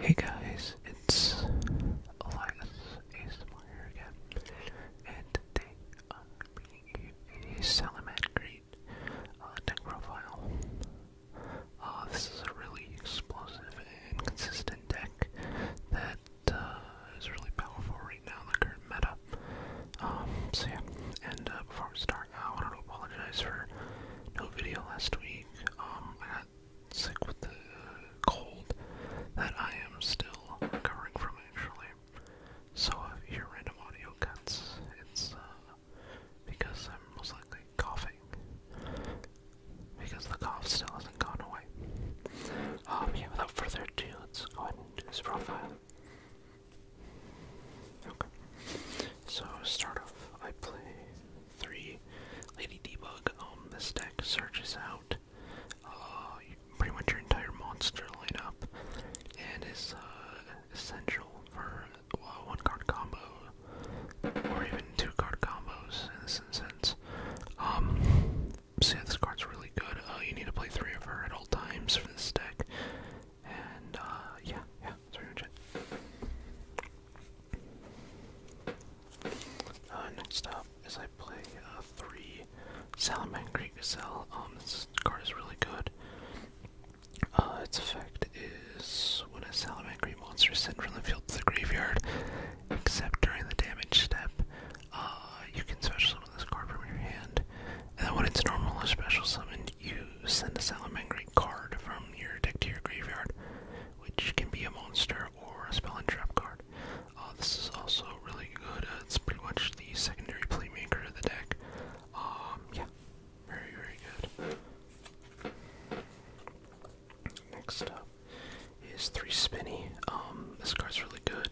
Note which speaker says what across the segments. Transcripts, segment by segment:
Speaker 1: Hey guys, it's Elias ASMR here again, and today I'm bringing a Salamat deck uh, profile. Uh, this is a really explosive and consistent deck that uh, is really powerful right now in the current meta. Um, so yeah, and uh, before we start, I want to apologize for no video last week. Um, sick with the cold that I am still recovering from, actually. So if you hear random audio cuts, it's uh, because I'm most likely coughing. Because the cough still hasn't gone away. Um, yeah, without further ado, let's go ahead and do this profile. Okay. So, start off, I play three Lady Debug. Um, this deck searches out uh, pretty much your entire monster lineup and is uh, essential for uh, one card combo or even two card combos in this instance. Um, so card's really good. you need to play three of her at all times for this deck. And yeah, yeah, that's pretty much uh, next up is I play uh, three Salamander Great Gazelle. Um, this card is really good. Uh, its effect is when a Salamander Salamangreat monster is sent from the field to the graveyard, except during the damage step, uh, you can special summon this card from your hand. And then when it's normal or special summoned, you send a Salamander Salamangreat card from your deck to your graveyard which can be a monster or a spell and trap card. Uh, this is also really good. Uh, it's pretty much the secondary playmaker of the deck. Um, yeah, very, very good. Next up is 3 Spinny. Um, this card is really good.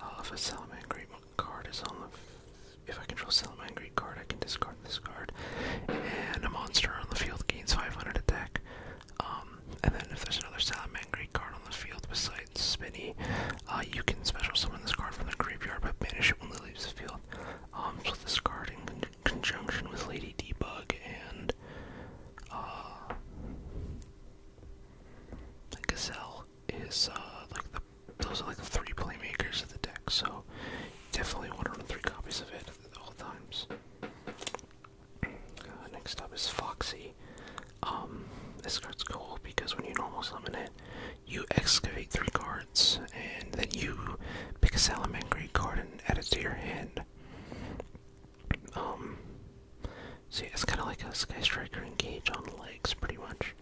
Speaker 1: Uh, if a Salamangreat card is on the. If I control Salamangreat card, I can discard. This card And a monster on the field gains 500 attack. Um, and then if there's another Salamangreat card on the field besides Spinny, uh, you can special summon this card from the graveyard but banish it when it leaves the field. Um, so this card in conjunction with Lady Debug and, uh, Gazelle is, uh, like the, those are like the three playmakers of the deck, so definitely want to run three copies of it at all times. Uh, next up is Foxy. Um, this card's cool because when you normal summon it, you excavate three cards, and then you pick a Salamangre card and add it to your hand. Um, so it's kind of like a Sky Striker engage on legs, pretty much.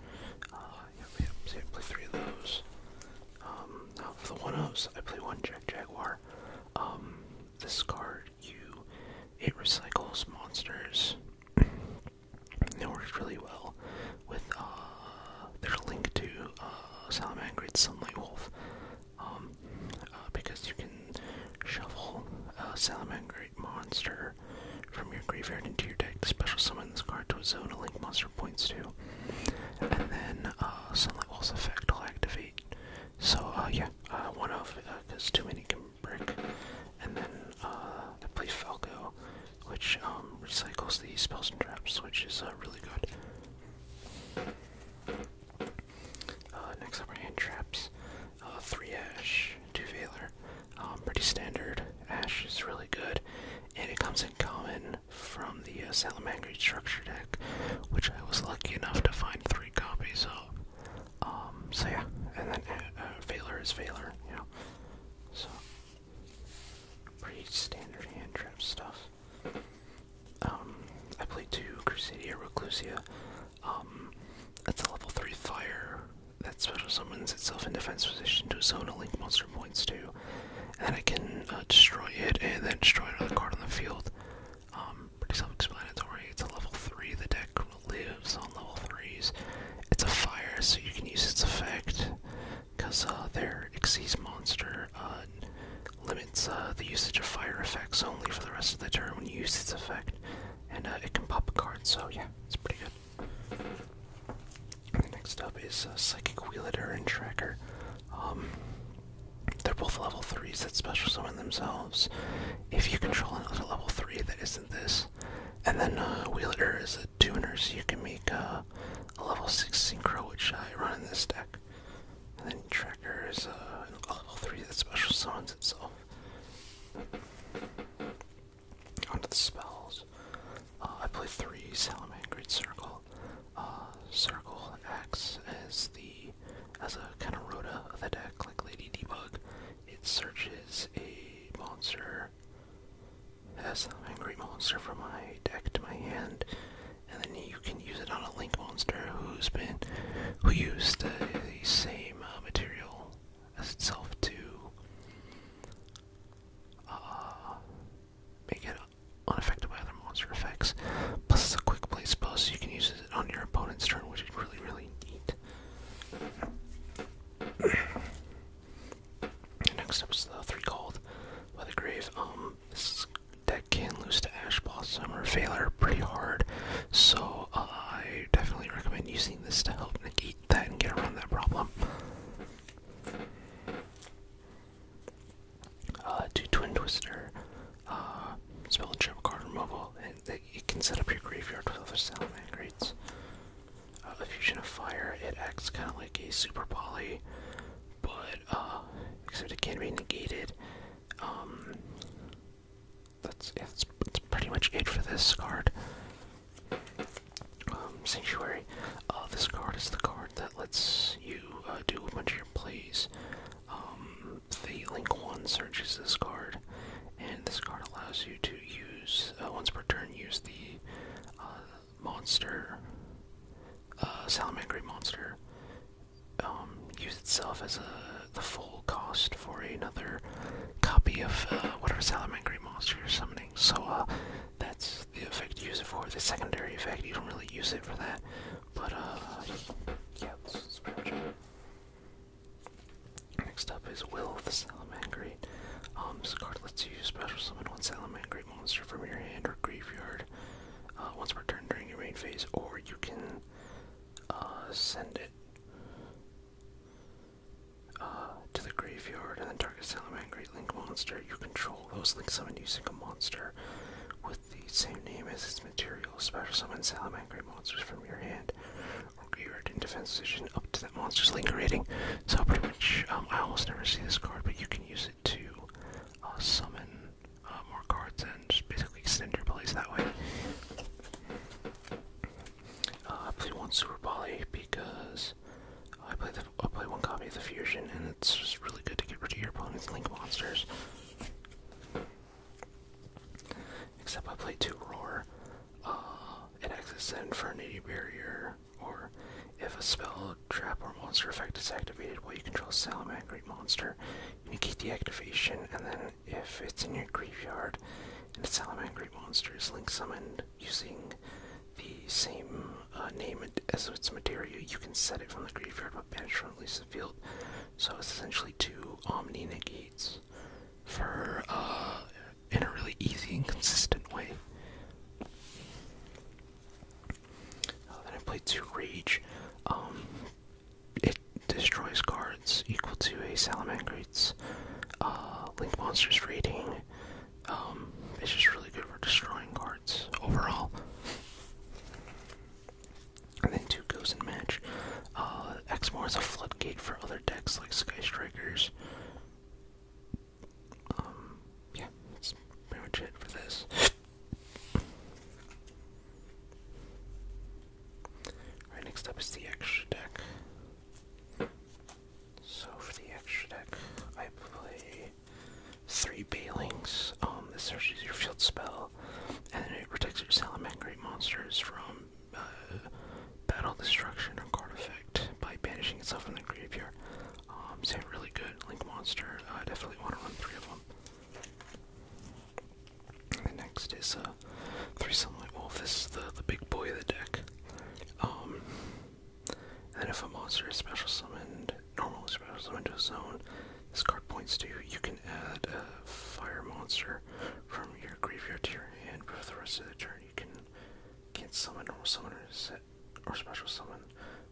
Speaker 1: Uh, yep, yep, so I play three of those. Um, now for the 1-0s, I play one Jack Jaguar this um, card. You it recycles monsters. it works really well with uh, a link to uh, Salamangrid Sunlight Wolf, um, uh, because you can shovel a Salamangrid monster from your graveyard into your deck. Special summon this card to a zone a link monster points to, and then uh, Sunlight Wolf's effect will activate so, uh, yeah, one off, because uh, too many can break. And then, uh, the I play Falco, which, um, recycles these spells and traps, which is, really good. next up are hand traps. 3 Ash, 2 Veiler. Um, pretty standard. Ash is really good, and it comes in common from the uh, structure deck, which I was lucky enough to find three copies of. Um, so yeah, and then uh, uh is Valor, you know. So, pretty standard hand trap stuff. Um, I played two Crusadia Reclusia. Um, that's a level 3 fire that special summons itself in defense position to a zone a link monster points to. And then I can uh, destroy it and then destroy another card on the field. Um, pretty self-explanatory. It's a level three. The deck lives on level threes. It's a fire, so you can use its effect because uh, their Xyz monster uh, limits uh, the usage of fire effects only for the rest of the turn when you use its effect, and it can pop a card. So yeah, it's pretty good. next up is Psychic Wheelator and Tracker. Um, they're both level threes that special summon themselves. If you control another level three that isn't this, and then uh, Wheeler is a tuner, so you can make uh, a level six synchro, which I run in this deck. And then Tracker is uh, a level three that special summons itself. Onto the spells. Uh, I play three Great Circle. Uh, Circle acts as the as a kind of rota of the deck, like Lady Debug. It searches a monster, as an angry monster from my deck to my hand, and then you can use it on a link monster who's been who used the, same uh, material as itself to uh, make it unaffected by other monster effects. Plus, it's a quick play spell, so you can use it on your opponent's turn, which is really, really neat. Next up is the Three Called by the Grave. Um, this deck can lose to Ash Blossom or Failure pretty hard, so uh, I definitely recommend using this to help negate that and get around that problem uh, do Twin Twister, uh, spell and trip card removal, and it, can set up your graveyard with other Salamand grades. Uh, Fusion of Fire, it acts kind of like a Super Poly, but, uh, except it can be negated. Um, that's, yeah, pretty much it for this card. Um, Sanctuary. Uh, this card is the card that lets you do a bunch of your plays um, the Link 1 searches this card, and this card allows you to use, uh, once per turn, use the uh, monster, uh, Salamangre monster, um, use itself as a, the full cost for another copy of uh, whatever Salamangre monster you're summoning. So, that's the effect you use it for. The secondary effect, you don't really use it for that. But, uh, yeah, that's, that's pretty much Next up is Will the Salamangreat. Um, this card lets you special summon one Salamangreat monster from your hand or graveyard uh, once per during your main phase, or you can uh, send it uh, to the graveyard and then target Salamangreat Link monster. You control those Link summoned using a monster with the same name as its material, special summon salamangry monsters from your hand or geared in defense position up to that monster's linger rating. So pretty much, um, I almost never see this card, but you can use it to uh, summon uh, more cards and basically extend your plays that way. Uh, I play one Super Poly because I play the I play one copy of the Fusion, and it's just really good to get rid of your opponent's Link monsters. Except I play two roar. Uh, it exits the Infernity Barrier, or if a spell, trap, or monster effect is activated while you control a salamangreat monster, you negate the activation, and then if it's in your graveyard and a salamangreat monster is link summoned using the same uh, name as its material, you can set it from the graveyard but banish from the field so it's essentially two omni Gates, for uh, in a really easy and consistent way. Uh, then I play two rage. Um, it destroys cards equal to a Salamander Gates, uh, Link Monsters rating. Um, it's just really good for destroying cards overall. And then two goes and match. Uh, Exmoor is a floodgate for other decks like Sky Strikers. Um, yeah, pretty much it for this. Alright, next up is the extra deck. So for the extra deck, I play three Balings. Um, this searches your field spell and it protects your salamangreat monsters from uh, battle destruction or card effect by banishing itself from the graveyard. Um, so really good link monster. I definitely want to run three of them. the next is a uh, three sunlight wolf. This is the the big boy of the deck. Um, and if a monster is special summoned, normally special summoned to a zone, this card points to you can add a fire monster from your graveyard to your hand, but for the rest of the turn, you can can't summon normal summoners or special summon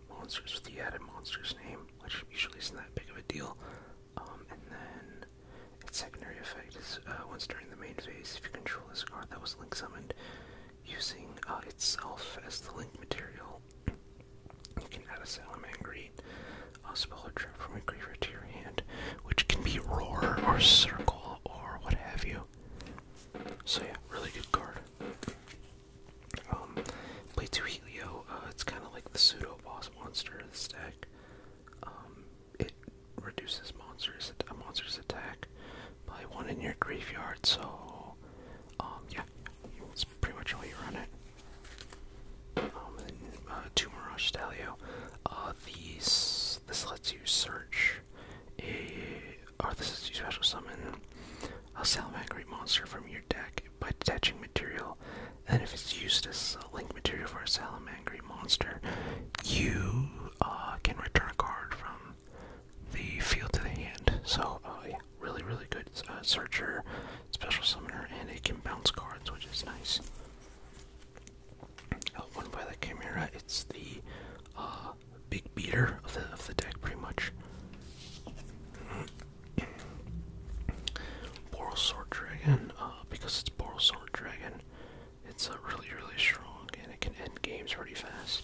Speaker 1: monsters with the added monster's name, which usually isn't that big of a deal. Um, and then its secondary effect is uh, once during the main phase, if you control this card that was link summoned using uh, itself as the link material, you can add a salamander I'll spell a trip from your graveyard to your hand, which can be roar or circle or what have you. So yeah, really good card. Um, play two Helio. Uh, it's kind of like the pseudo boss monster of the deck. Um, it reduces monsters a monster's attack by one in your graveyard. So, um, yeah, that's pretty much all you run it. Um, uh, uh, these, this lets you search a, or this is you special summon a Salamangreat monster from your deck by detaching material. And if it's used as uh, link material for a Salamangreat monster, you uh, can return a card from the field to the hand. So, uh, yeah, really, really good searcher special summoner, and it can bounce cards, which is nice. Oh, one by the Chimera, it's the uh, big beater of the, deck, pretty much. Boral Sword Dragon, uh, because it's Boral Sword Dragon, it's uh, really, really strong, and it can end games pretty fast.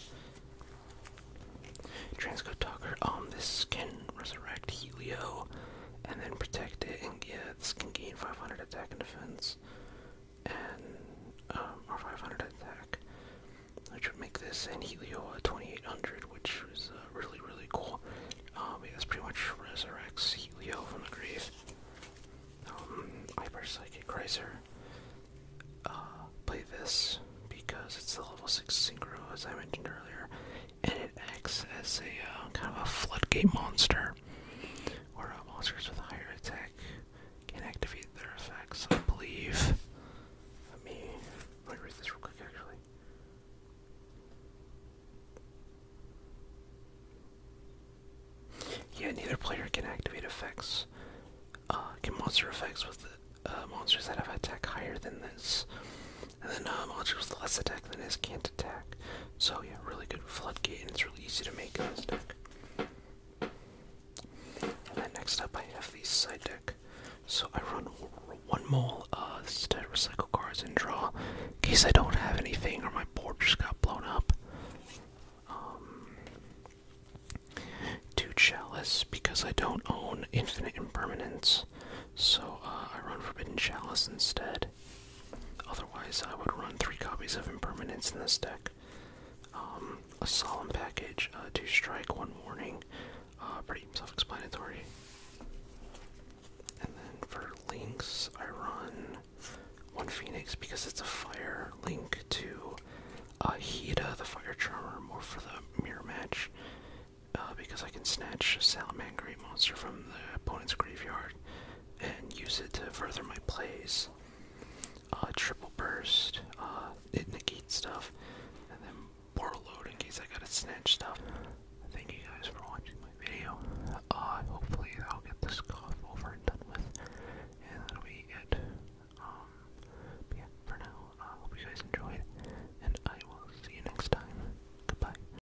Speaker 1: Transco Tucker, um, this can resurrect Helio, and then protect it, and get this can gain 500 attack and defense, and, um, or 500 attack, which would make this and Helio a 2800, which is uh, really, really cool. Um, this pretty much resurrects Helio from the grave. Um, Hyper Psychic Kaiser. Uh, play this because it's the level 6 synchro, as I mentioned earlier and it acts as a uh, kind of a floodgate monster, where uh, monsters with higher attack can activate their effects. I believe. Let me let me read this real quick, actually. Yeah, neither player can activate effects. Uh, can monster effects with monsters that have attack higher than this. And then uh, Knowledge was less attack than his Can't attack. So yeah, really good Floodgate, and it's really easy to make in this deck. And next up, I have the side deck. So I run one more uh, instead recycle cards and draw, in case I don't have anything or my board just got blown up. Um, two chalice because I don't own infinite impermanence, so uh, I run forbidden chalice instead. Otherwise, I would run three copies of Impermanence in this deck. Um, a Solemn Package, uh, two strike, one warning. Uh, pretty self-explanatory. And then for links, I run one Phoenix because it's a fire link to uh, Hida, the Fire Charmer, more for the mirror match. Uh, because I can snatch a Salamangreat monster from the opponent's graveyard and use it to further my plays. Uh, triple burst, uh, stuff, and then portal load in case I gotta snatch stuff. Thank you guys for watching my video. Uh, hopefully I'll get this cough over and done with, and that'll be it. Um, yeah, for now, I hope you guys enjoyed, and I will see you next time. Goodbye.